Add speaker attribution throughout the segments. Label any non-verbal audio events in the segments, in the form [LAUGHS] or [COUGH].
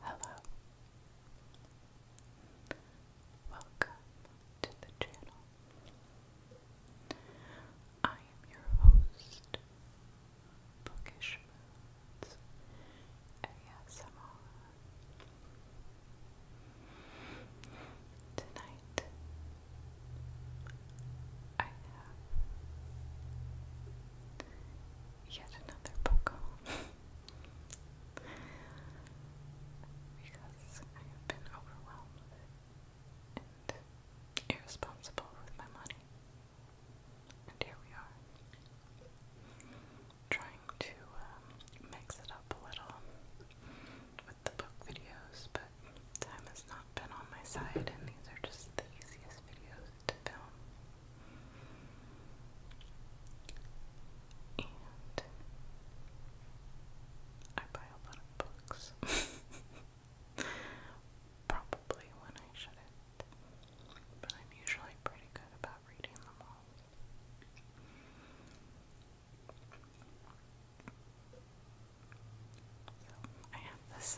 Speaker 1: Hello. Welcome to the channel. I am your host, Bookish Moods ASMR. Tonight, I have yet another Pokemon. [LAUGHS] because I have been overwhelmed and irresponsible with my money. And here we are. Trying to um, mix it up a little with the book videos, but time has not been on my side, and these are just the easiest videos to film. I buy a lot of books. [LAUGHS] Probably when I shouldn't. But I'm usually pretty good about reading them all. I have this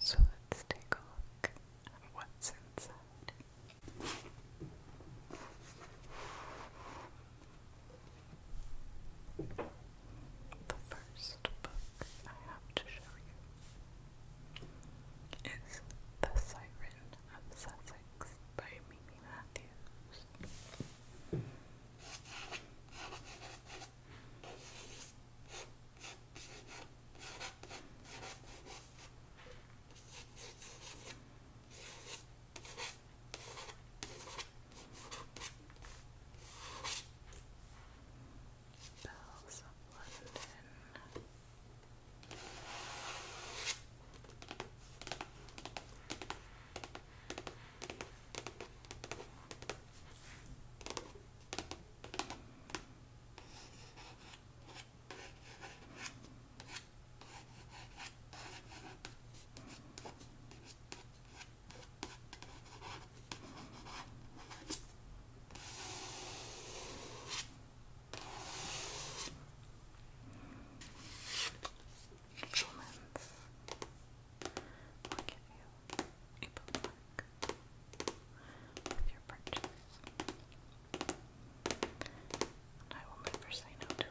Speaker 1: So let's take a look at what's inside. The first book I have to show you is The Siren of Sussex by Mimi Matthews. Bells of London. All Compliments will give you a bookmark with your purchase. And I will never say a bookmark.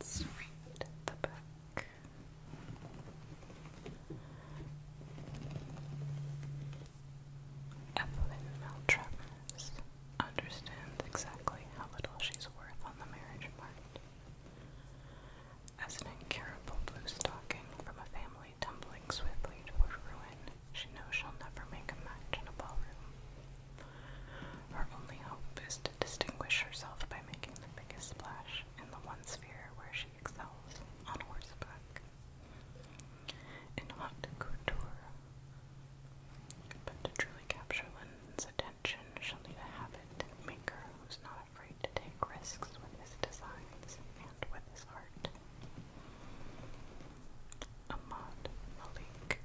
Speaker 1: Let's read the book. Evelyn Maltravers understands exactly how little she's worth on the marriage market. As an incurable blue-stocking from a family tumbling swiftly toward ruin, she knows she'll never make a match in a ballroom. Her only hope is to distinguish herself by making the biggest splash in the one sphere where she excels on horseback. In hot couture. But to truly capture Linden's attention shall be the habit maker who's not afraid to take risks with his designs and with his art. Ahmad Malik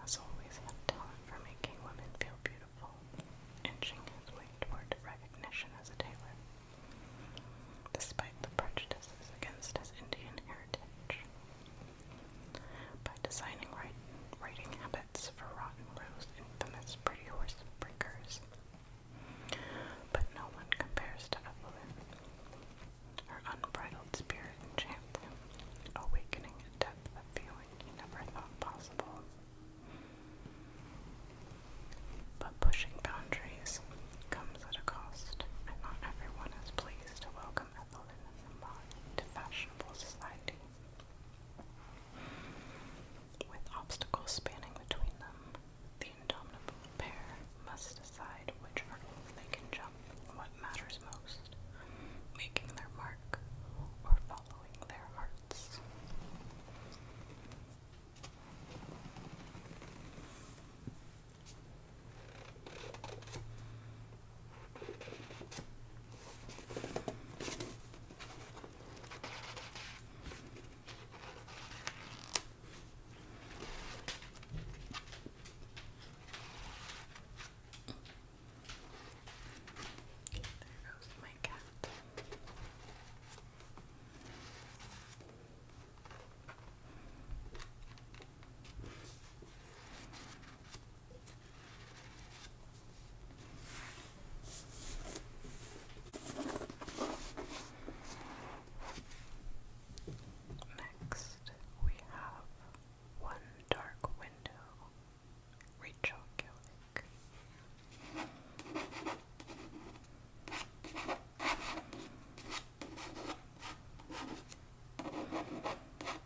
Speaker 1: has always had talent for making women feel beautiful, inching his way toward recognition as a tailor. Despite the prejudices against his Indian heritage, by designing writing habits for Rotten Rose, infamous Pretty Horse Breakers. But no one compares to Evelyn. Her unbridled spirit enchants him, awakening a of feeling never thought possible. But pushing boundaries comes at a cost, and not everyone is pleased to welcome Evelyn in fashionable society. With obstacles spanning between them, the indomitable pair must decide which hurdles they can jump what matters most making their mark or following their hearts. There goes my cat. Okay. Next, we have One Dark Window, Rachel Gillick.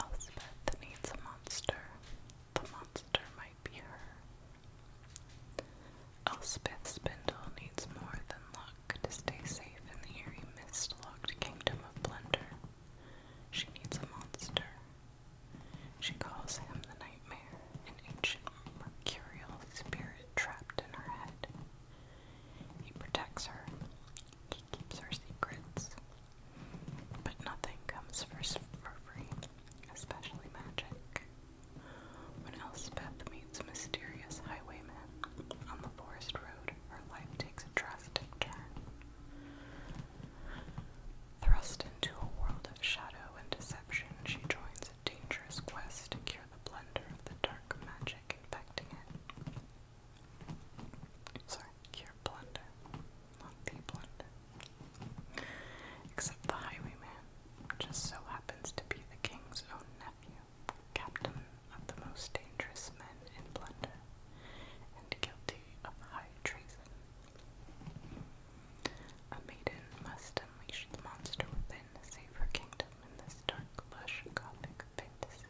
Speaker 1: Elspeth needs a monster. The monster might be her. Elspeth Spindle needs more than luck to stay safe in the eerie mist-locked kingdom of Blunder. She needs a monster. She calls him the nightmare, an ancient mercurial spirit trapped in her head. He protects her. He keeps her secrets. But nothing comes first for free, especially magic. When Elspeth meets mysterious highwayman on the forest road, her life takes a drastic turn. Thrust into a world of shadow and deception, she joins a dangerous quest to cure the blender of the dark magic infecting it. Sorry, cure blunder, not the blunder. Except the highwayman, just so happens to be the king's own nephew, captain of the most dangerous men in Blunder, and guilty of high treason. A maiden must unleash the monster within to save her kingdom in this dark, lush, gothic fantasy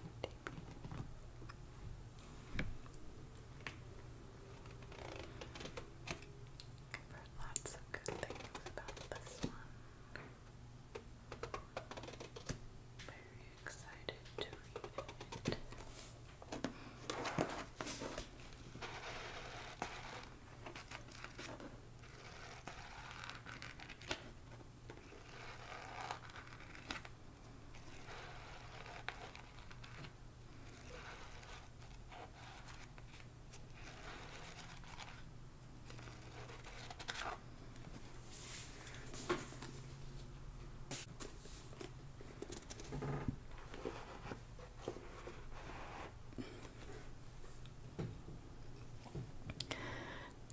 Speaker 1: lots of good things about this one. Very excited to read it.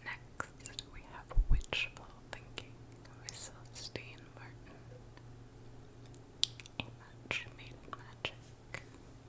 Speaker 1: Next, we have Witchful Thinking with Celestine Martin. A match made magic.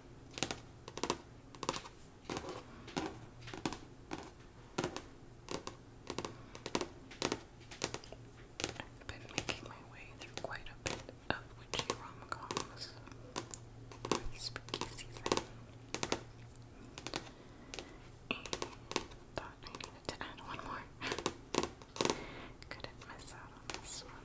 Speaker 1: I've been making my way through quite a bit of witchy rom spooky season. thought I needed to add one more. [LAUGHS] Couldn't miss out on this one.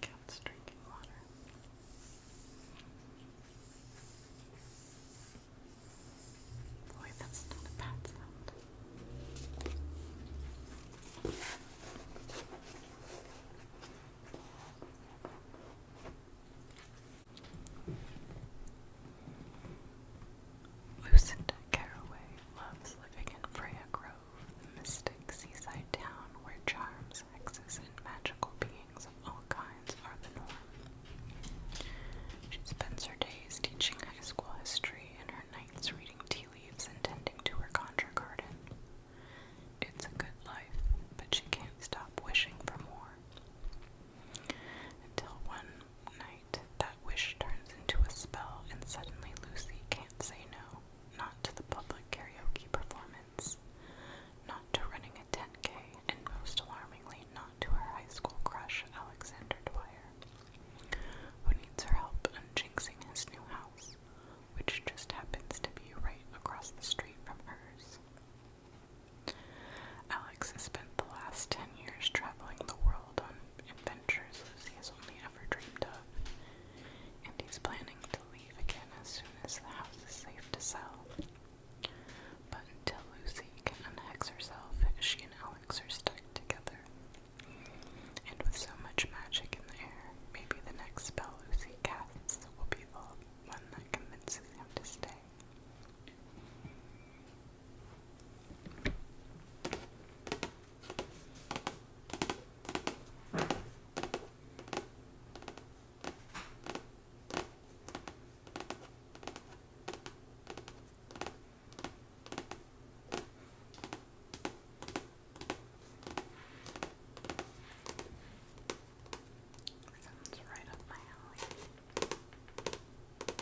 Speaker 1: Cat's drinking water. Boy, that's not a bad sound. Lucinda Caraway loves living in Freya Grove, the mystic seaside town where charms, hexes, and magical beings of all kinds are the norm. She spends her days teaching high school history and her nights reading tea leaves and tending to her conjure garden. It's a good life, but she can't stop wishing for more. Until one night, that wish turns into a spell, and suddenly Lucy can't say no. Not to the public karaoke performance, not to running a 10K, and most alarmingly, not to her high school crush, Alexander Dwyer, who needs her help on his new house, which just happens to be right across the street from hers. Alex has been the last 10 years traveling the world on adventures Lucy has only ever dreamed of, and he's planning to leave again as soon as the house is safe to sell. But until Lucy can unhex herself, she and Alex are stuck together. And with so much magic in the air, maybe the next spell Lucy casts will be the one that convinces him to stay. Sounds right up my alley.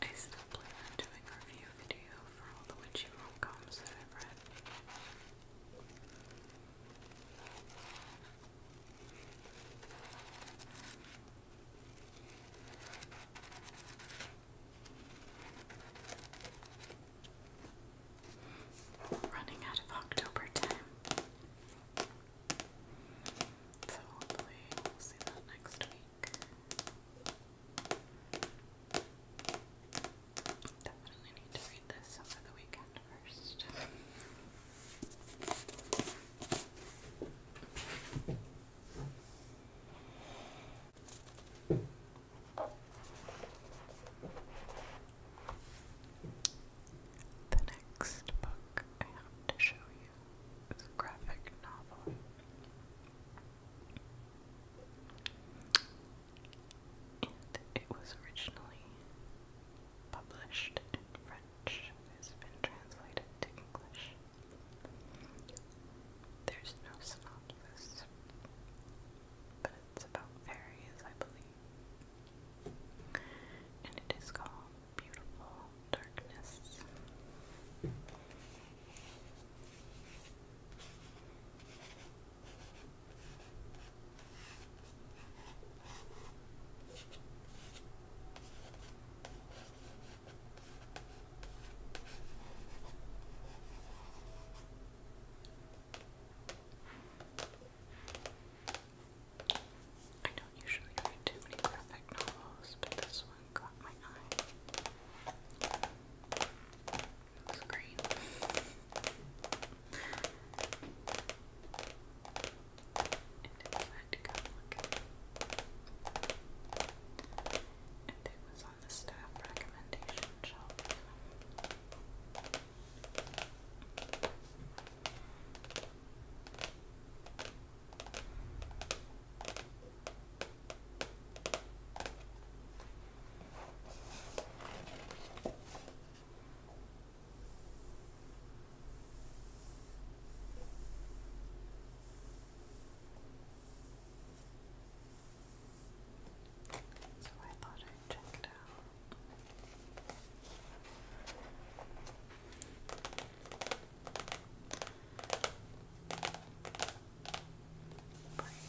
Speaker 1: I still plan on doing a review video for all the witchy rom-coms that I've read. Running out of October time. So hopefully we'll see that next week. Definitely need to read this over the weekend first. The next book I have to show you is a graphic novel. it was originally published in French, it's been translated to English. There's no synopsis, but it's about fairies, I believe. And it is called Beautiful Darkness. I don't usually read too many graphic novels, but this one caught my eye. It was green. it. And there is on the staff recommendation shelf. So I thought I'd check it out. Brains. Brains.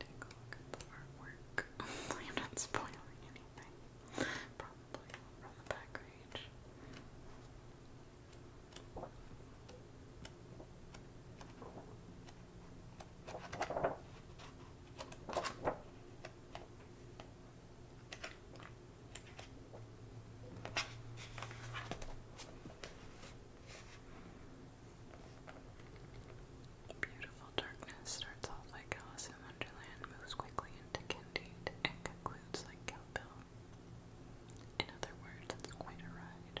Speaker 1: Take a [LAUGHS] I'm not spoiling anything. Probably from the back page. Beautiful Darkness starts off like Alice in Wonderland, moves quickly into Candide, and concludes like Kill Bill. In other words, it's quite a ride.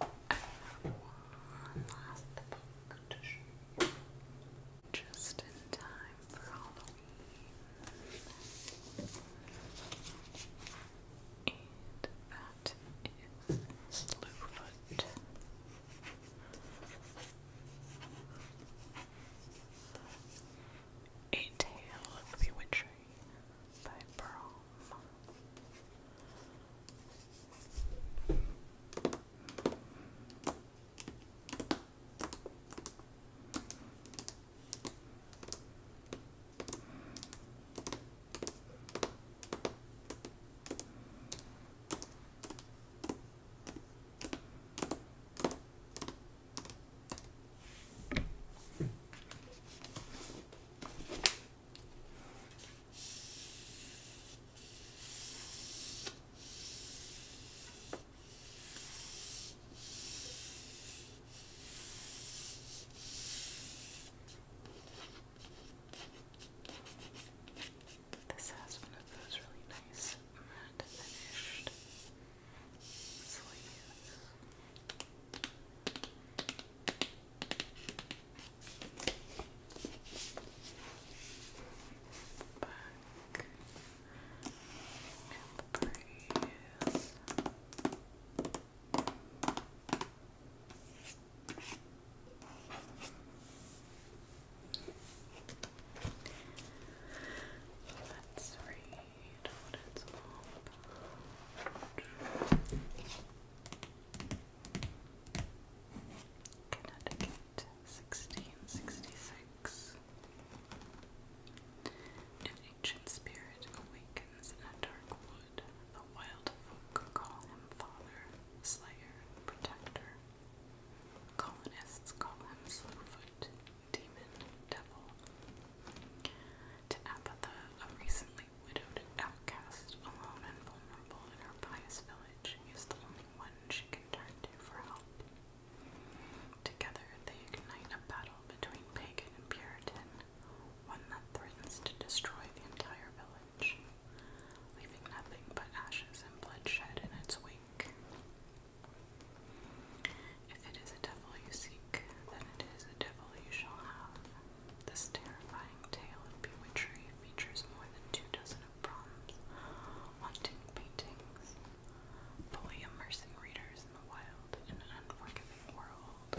Speaker 1: have one last book Just in time for Halloween. And that is Slewfoot. A Tale of Bewitchery by Brom. This has one of those really nice matte finished Back and Let's read what it's about. Connecticut, sixteen sixty six. An ancient spirit awakens in a dark wood. The wild folk call him father, slayer, protector. Colonists call him slowfoot, demon, devil. To Apatha, a recent widowed outcast, alone and vulnerable in her pious village, is the only one she can turn to for help. Together, they ignite a battle between pagan and Puritan, one that threatens to destroy the entire village, leaving nothing but ashes and bloodshed in its wake. If it is a devil you seek, then it is a devil you shall have. This terrifying tale of bewitchery features more than two dozen of haunting paintings, fully immersing readers in the wild and unforgiving world.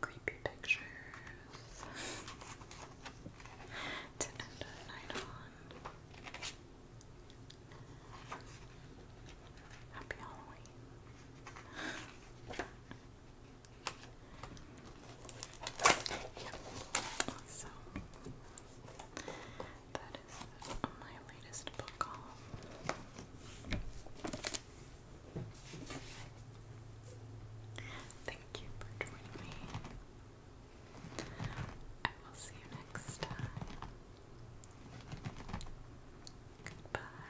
Speaker 1: Creepy pictures [LAUGHS] to end a night on. Happy Halloween. [LAUGHS] yep. That is my latest book Thank you for joining me. I will see you next time. Goodbye.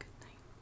Speaker 1: Good night.